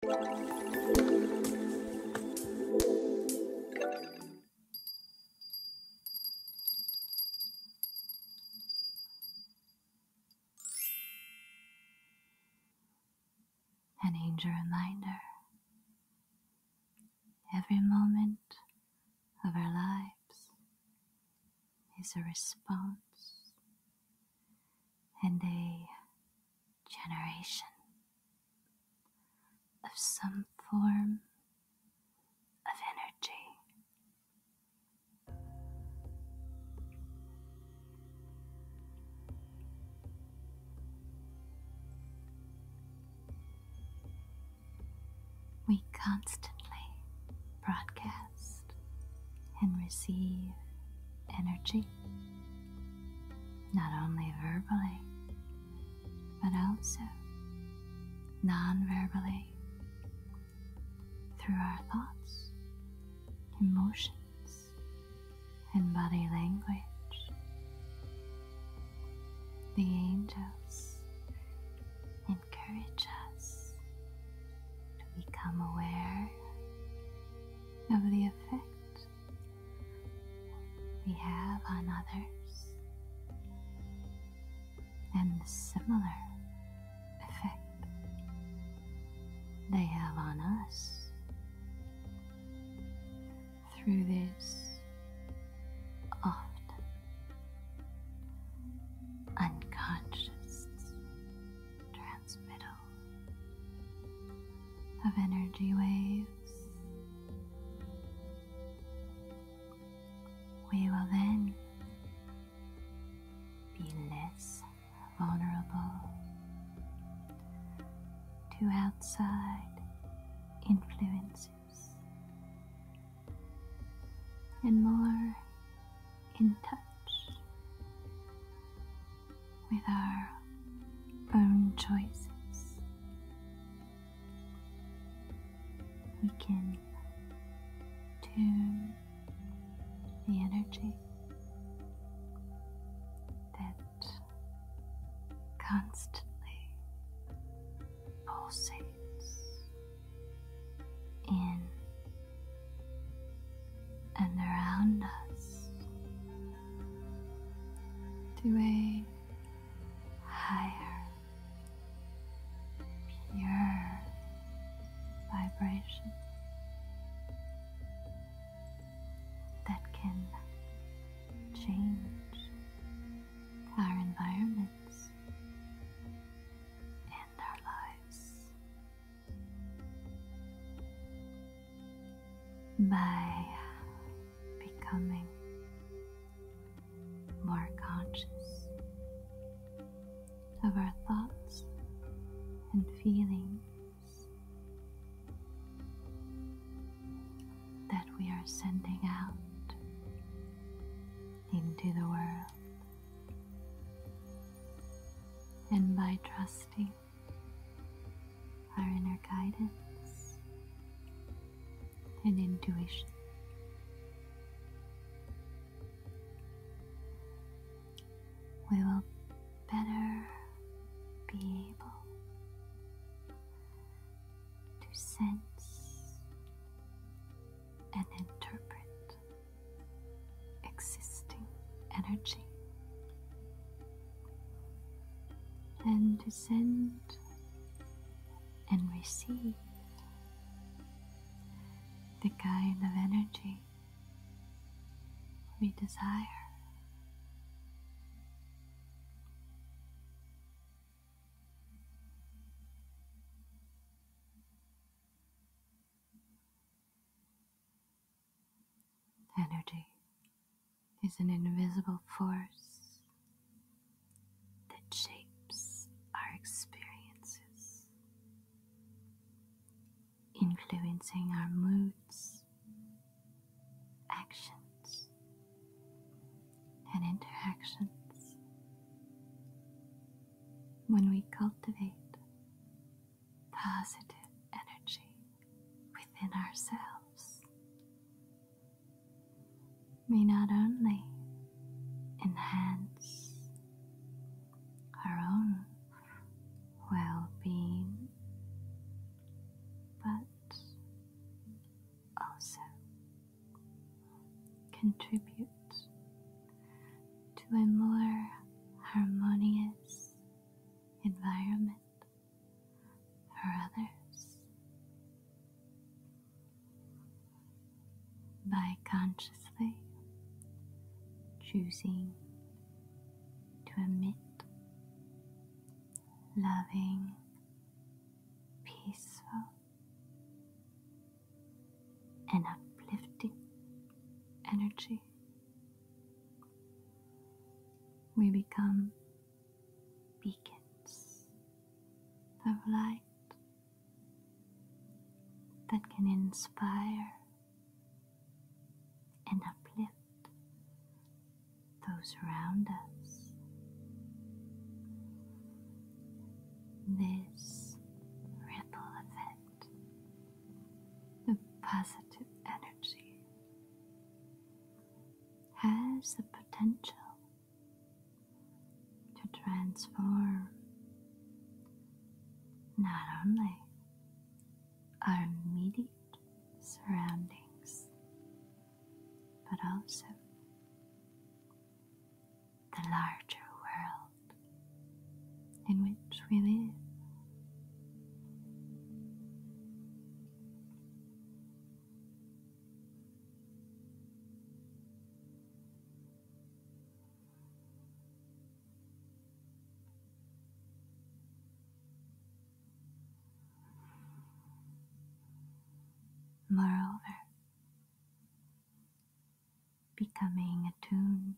An angel reminder every moment of our lives is a response and a generation of some form of energy. We constantly broadcast and receive energy not only verbally, but also non verbally through our thoughts, emotions, and body language. The angels encourage us to become aware of the effect we have on others and the similar effect they have on us through this often unconscious of energy waves. We will then be less vulnerable to outside influences and more in touch with our own choices. We can tune the energy that constantly pulsates in and around us to a higher, pure vibration that can change our environments and our lives by uh, becoming more conscious of our thoughts and feelings that we are sending out into the world. And by trusting our inner guidance and intuition. We will better be able to sense and interpret existing energy and to send and receive the kind of energy we desire. Energy is an invisible force that shapes our experiences, influencing our moods, actions, and interactions. When we cultivate positive energy within ourselves. May not only enhance our own well being, but also contribute to a more harmonious environment for others. By consciously choosing to emit loving, peaceful, and uplifting energy we become beacons of light that can inspire and uplift those around us. This ripple effect of positive energy has the potential to transform not only our immediate surroundings but also the larger world in which we live. Moreover, becoming attuned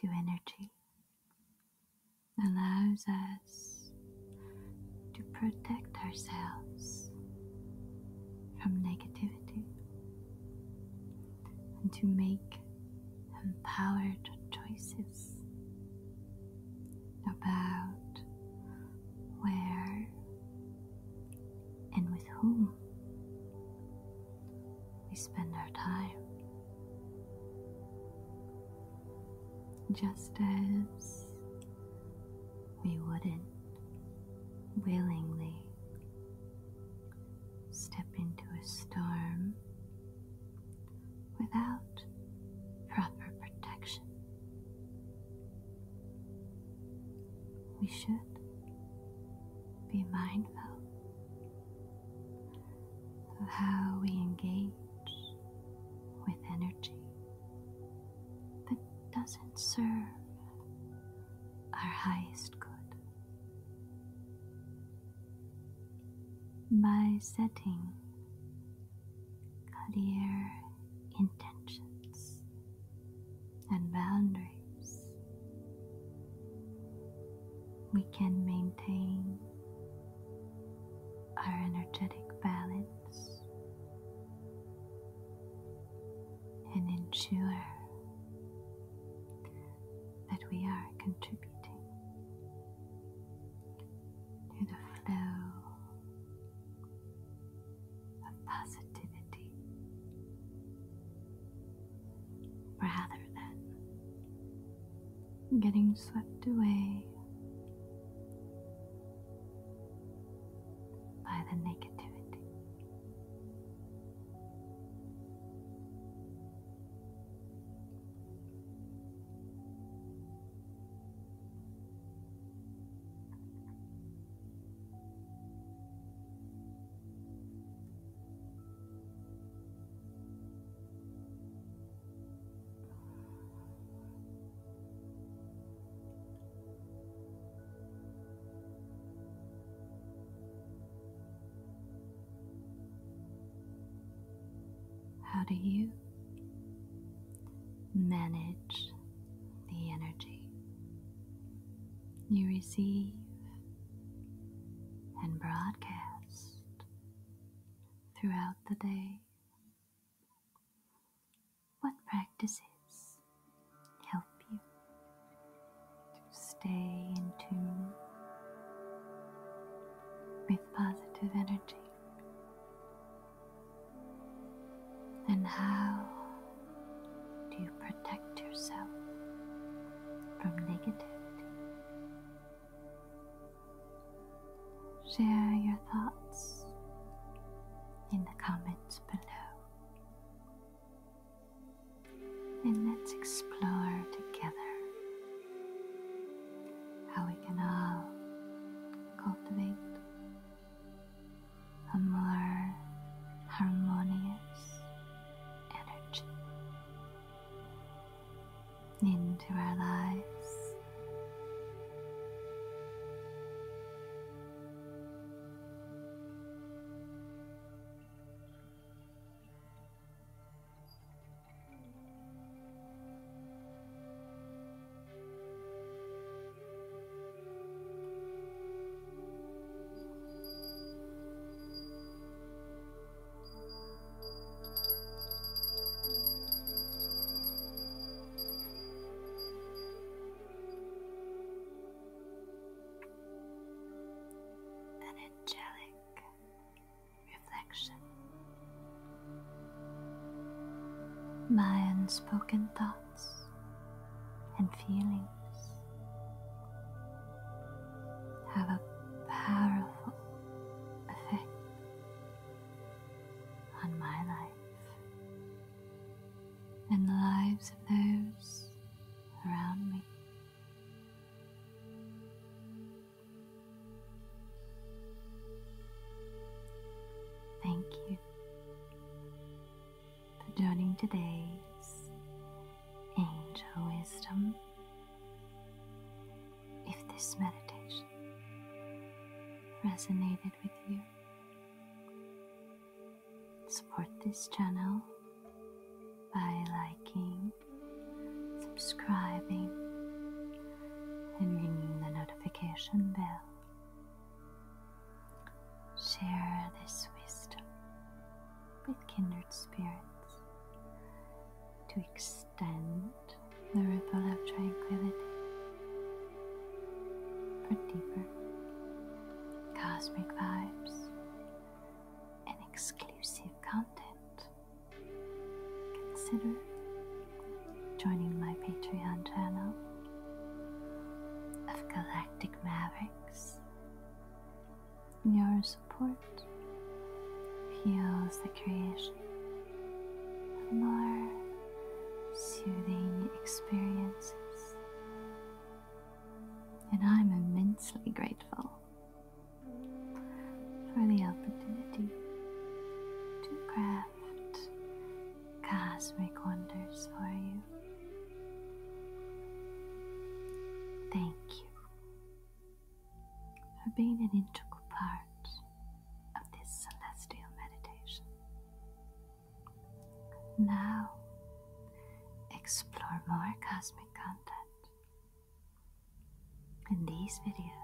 to energy allows us to protect ourselves from negativity and to make empowered choices about where and with whom we spend our time just as we wouldn't willingly step into a storm without proper protection. We should be mindful of how we engage with energy that doesn't serve our highest good. By setting clear intentions and boundaries, we can maintain our energetic balance and ensure that we are contributing to the flow of positivity rather than getting swept away by the negativity. How do you manage the energy you receive and broadcast throughout the day? What practices help you to stay in tune with positive energy? And how do you protect yourself from negativity? Share your thoughts in the comments below. And let's explore together how we can all cultivate a more harmonious energy into our lives. An angelic reflection. My unspoken thoughts and feelings have a powerful effect on my life and the lives of those around me. Thank you for joining today's Angel Wisdom if this meditation resonated with you, support this channel by liking, subscribing, and ringing the notification bell. Share this wisdom with kindred spirits to extend extend the ripple of tranquility for deeper cosmic vibes and exclusive content. Consider joining my Patreon channel of Galactic Mavericks. Your support fuels the creation of more soothing experiences. And I'm immensely grateful for the opportunity to craft cosmic wonders for you. Thank you for being an integral part of this celestial meditation. Now, explore more cosmic content in these videos.